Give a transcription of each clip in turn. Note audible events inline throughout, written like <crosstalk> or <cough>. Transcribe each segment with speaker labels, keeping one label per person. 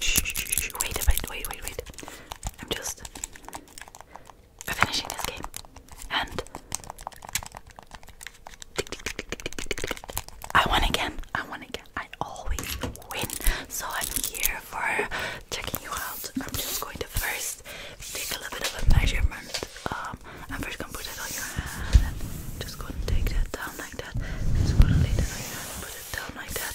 Speaker 1: Shh, shh, shh, wait, wait, wait, I'm just finishing this game. And I won again. I won again. I always win. So I'm here for checking you out. I'm just going to first take a little bit of a measurement. Um, I'm first gonna put it on your hand. Just gonna take that down like that. Just gonna lay that on your hand down like that.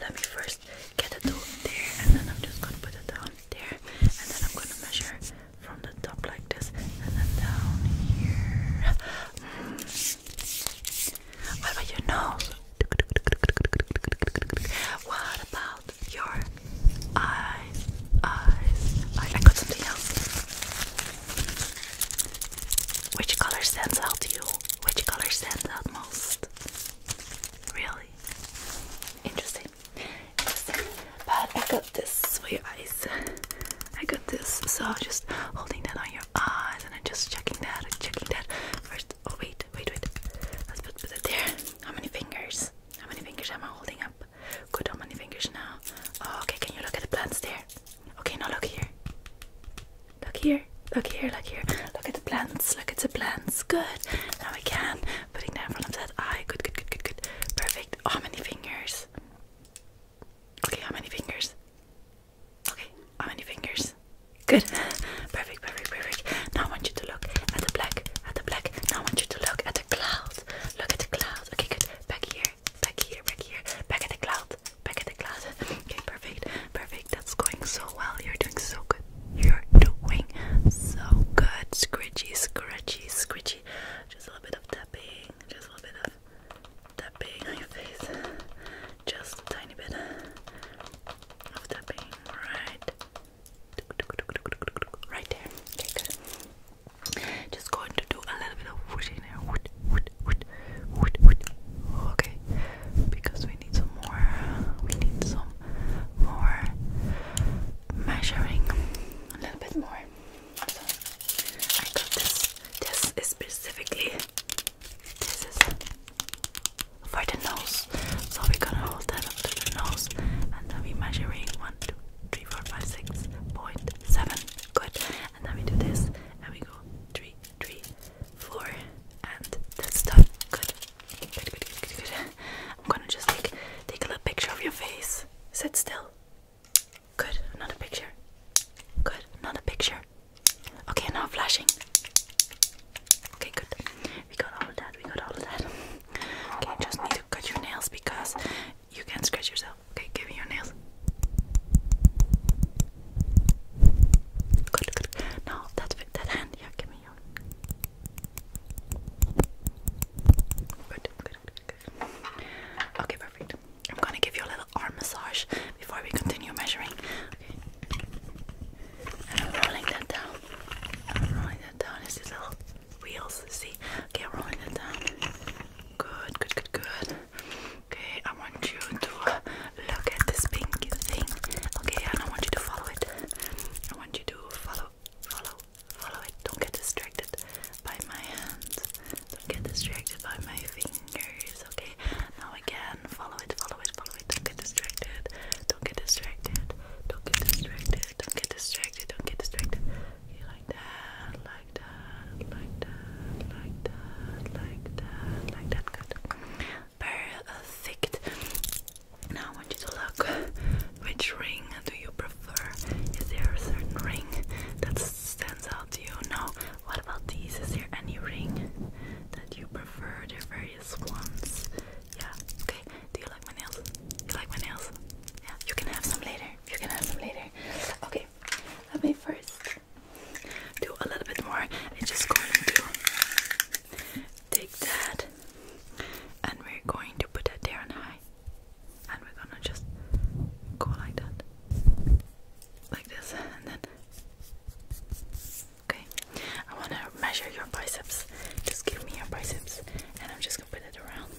Speaker 1: Let me first get the dough there, and then I'm just gonna put it down there, and then I'm gonna measure from the top like this, and then down here. Mm. What about your nose? What about your eyes? Eyes? I got something else. Which color stands out to you? Which color stands out most? Really? Interesting. Interesting. But I got this sweet your eyes. I got this. So just holding that on your eyes and I'm just checking that checking that. First, oh wait, wait, wait. Let's put, put it there. How many fingers? How many fingers am I holding up? Good, how many fingers now? okay, can you look at the plants there? Okay, now look here. Look here. Look here. Look here. Look at the plants. Look at the plants. Good. Now we can putting down from that eye. Good. Good. Good. Good. Good. Perfect. Oh, how many fingers? Okay. How many fingers? Okay. How many fingers? Good. <laughs> Perfect. Perfect. Perfect. Now I want you to look at the black. At the black. Now I want you to look at the cloud. Look at the cloud. Okay. Good. Back here back, here, back here, back in the cloud, back in the clouds. <laughs> Okay, perfect, perfect. That's going so well. You're doing so good. You're doing so good. Scritchy, scratchy, scritchy. Just a little bit of tapping. Just a little bit of tapping on your face. Just a tiny bit of tapping. Right. Right there. Okay, good. Just going to do a little bit of wood in there. Wood, wood, wood, wood, wood. Okay, because we need some more. We need some more measuring. A little bit more. So I got this. This is specifically. This is for the nose. So we're gonna hold that up the nose and then we're measuring 1, Good and then we do this and we go three, three, four, and that's done. Good. Good, good, good, good, I'm gonna just take take a little picture of your face. Sit still. Good, another picture. Good, another picture. Okay, now flashing. Okay, good. We got all of that, we got all of that. <laughs> Okay, just need to cut your nails because you can scratch yourself. Okay, give me your nails. Good, good. Now that's that hand. Yeah, give me your. Good, good, good, Okay, perfect. I'm gonna give you a little arm massage before we continue measuring. Okay. And I'm rolling that down. rolling that down. It's these little wheels. See? Okay, rolling that down. Good, good, good, good. Okay, I want you to uh, look at this pink thing. Okay, and I want you to follow it. I want you to follow, follow, follow it. Don't get distracted by my hands. Don't get distracted by my fingers. Okay, now again, follow it, follow it, follow it. Don't get distracted. Don't get distracted. Don't get distracted. Don't get distracted. Don't get distracted. Okay, like that, like that, like that, like that, like that, like that. Good. Perfect. Now I want you to look. Which ring do you prefer? Is there a certain ring that stands out to you? No. What about these? Is there any ring that you prefer? There are various ones. Yeah. Okay. Do you like my nails? You like my nails? Yeah. You can have some later. You can have some later. Okay, let me first do a little bit more. I'm just going to take that and we're going to put that there on high. And we're gonna just go like that. Like this, and then okay. I wanna measure your biceps. Just give me your biceps and I'm just gonna put it around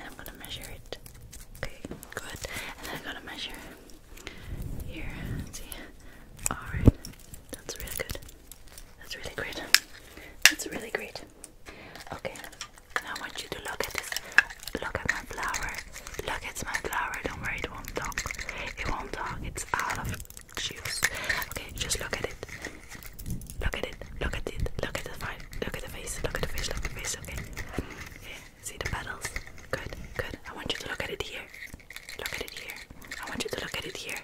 Speaker 1: and I'm gonna measure it. Okay, good. And I'm gonna measure here. See? Alright. That's really good. That's really great. That's really great. Okay. Now I want you to look at this. Look at my flower. Look at my flower. Don't worry, it won't talk. It won't talk. It's out of juice. Okay, just look at it. Look at it. Look at it. Look at the face. Look at the face. Look at the face. Okay. Yeah. See the petals. Good. Good. I want you to look at it here. Look at it here. I want you to look at it here.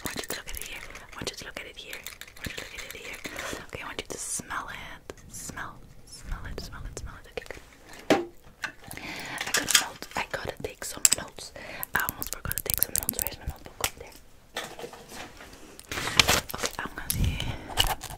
Speaker 1: I want you to look at it here. I want you to look at it here. Okay. I want you to smell it. Smell. Smell it. Smell it. Smell it. Okay. I gotta note. I gotta take some notes. I almost forgot to take some notes. Where's my notebook? Up there. Okay, I'm gonna see. Okay,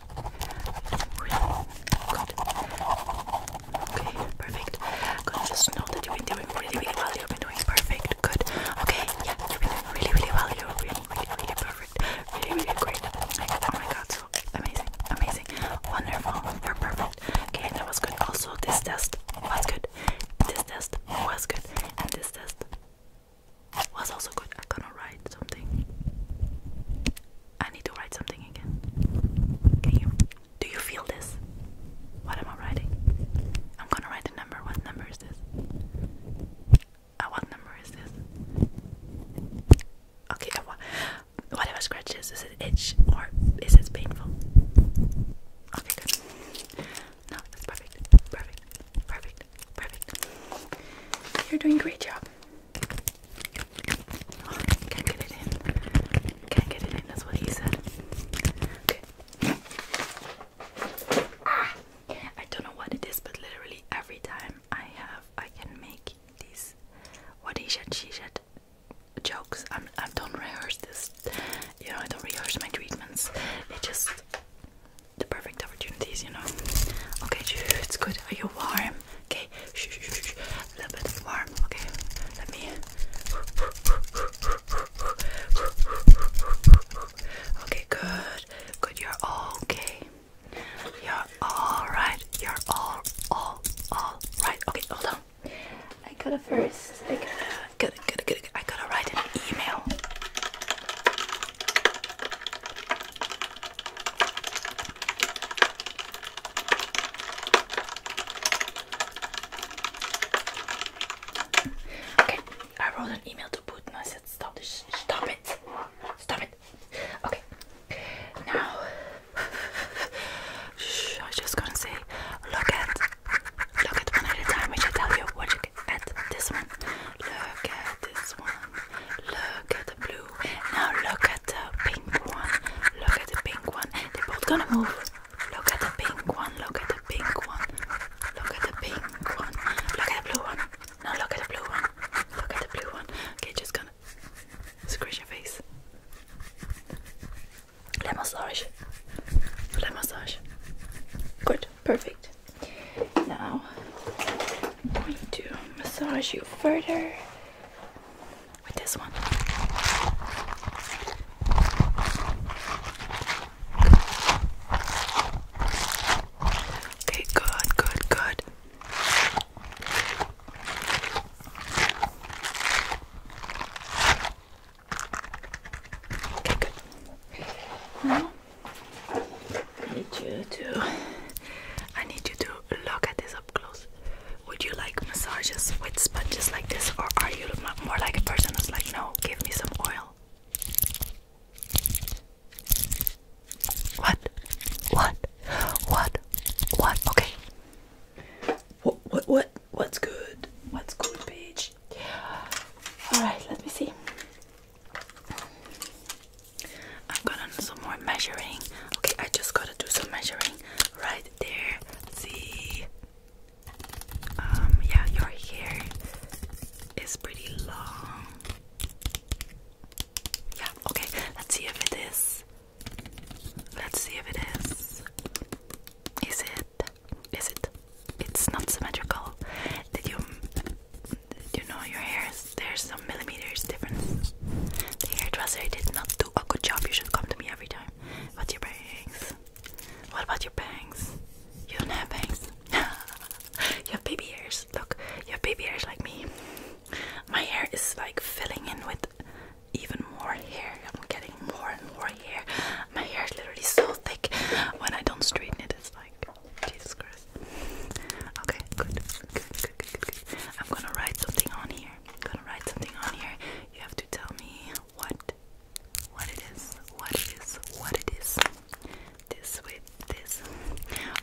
Speaker 1: perfect. I'm gonna just know that you've been doing really, really well. You've been doing perfect. Good. Okay, yeah, you've been doing really, really well. You're really, really, really perfect. Really, really great. oh my god, so amazing, amazing, wonderful. perfect. Okay, that was good. Also, this test was good. This test was good. And this test was also good. I am gonna write something. I need to write something again. Can you? Do you feel this? What am I writing? I'm gonna write a number. What number is this? Uh, what number is this? Okay, uh, wh whatever scratches, is it itch or is it painful? Okay, good. No, that's perfect. Perfect. Perfect. Perfect. You're doing a great job. can't get it in. Can't get it in, that's what he said. Okay. Ah, I don't know what it is, but literally every time I have, I can make these what he said, she said jokes. I'm, I don't rehearse this you know, I don't rehearse my treatments. It just the perfect opportunities, you know. Okay, it's good. Are you warm? Okay, shh, shh, shh. a little bit warm. Okay, let me. Okay, good, good. You're okay. You're all right. You're all, all, all right. Okay, hold on. I gotta first. I gotta, gotta, gotta, gotta, I gotta write an email. Okay, I wrote an email to Putin. I said, "Stop this! Stop it! Stop it!" Okay, now <sighs> I just gonna say, look at Look at one at a time, I shall tell you what look at this one. Look at this one. Look at the blue. Now look at the pink one. Look at the pink one. They're both gonna move. Look at the pink one. Look at the pink one. Look at the pink one. Look at the blue one. Now look at the blue one. Look at the blue one. Okay, just gonna scratch your face leg massage, leg massage. Good, perfect. Now I'm going to massage you further with this one. Okay, good, good, good. Okay, good. Now, I need you to. I need you to look at this up close. Would you like massages with sponges like this, or are you more like a person who's like, no, give me some oil? What? What? What? What? Okay. What what what what's good? What's good, bitch? Alright, let me see. i am gonna do some more measuring. Okay, I just gotta do some measuring right there. See um yeah your hair is pretty long. Yeah, okay, let's see if it is Let's see if it is. Is it? Is it? It's not symmetrical. Did you? Did you know your hair? there's some millimeters difference. The hairdresser did not do a good job. You should come to me every time. What's your bangs? What about your bangs? You don't have bangs. <laughs> you have baby ears. Look, you have baby ears like me. My hair is like filling in with even more hair. I'm getting more and more hair. My hair is literally so thick. When I don't straighten it, it's like Jesus Christ. Okay, good, good, good, good, good. good. I'm gonna write something on here. I'm gonna write something on here. You have to tell me what, what it is, what it is, what it is. This with this.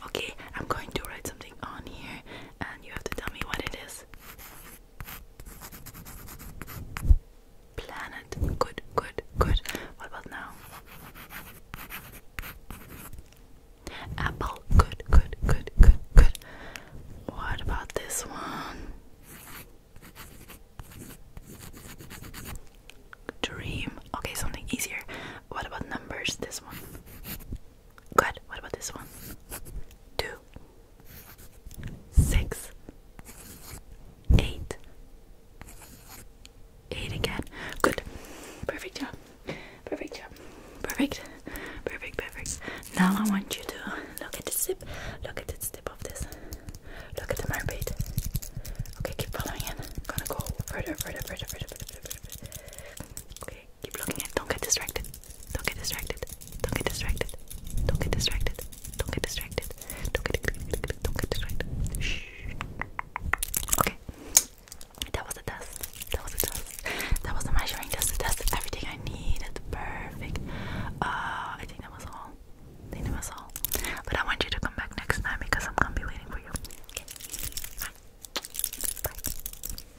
Speaker 1: Okay, I'm going to write something on here, and you have to tell me what it is. Planet. Good, good, good. What about now? Apple. Good, good, good, good, good. What about this one? Dream. Okay, something easier. What about numbers? This one. Good. What about this one? Two, six, eight, eight again. Good. Perfect job. Perfect job. Perfect. Perfect. Perfect. Now I want you to look at the zip. Look at the zip of this. Look at the mermaid. Okay, keep following it. I'm gonna go further, further, further, further, further, further, further. Okay, Keep looking at. Don't get distracted. Don't get distracted. Don't get distracted. Don't get distracted. Don't get distracted. Don't get distracted. Don't get distracted. Shh. Okay. That was a test. That was a test. That was a measuring test. It tested everything I needed. Perfect. Uh, I think that was all. I think that was all. But I want you to come back next time because I'm gonna be waiting for you. Okay. Bye. Bye.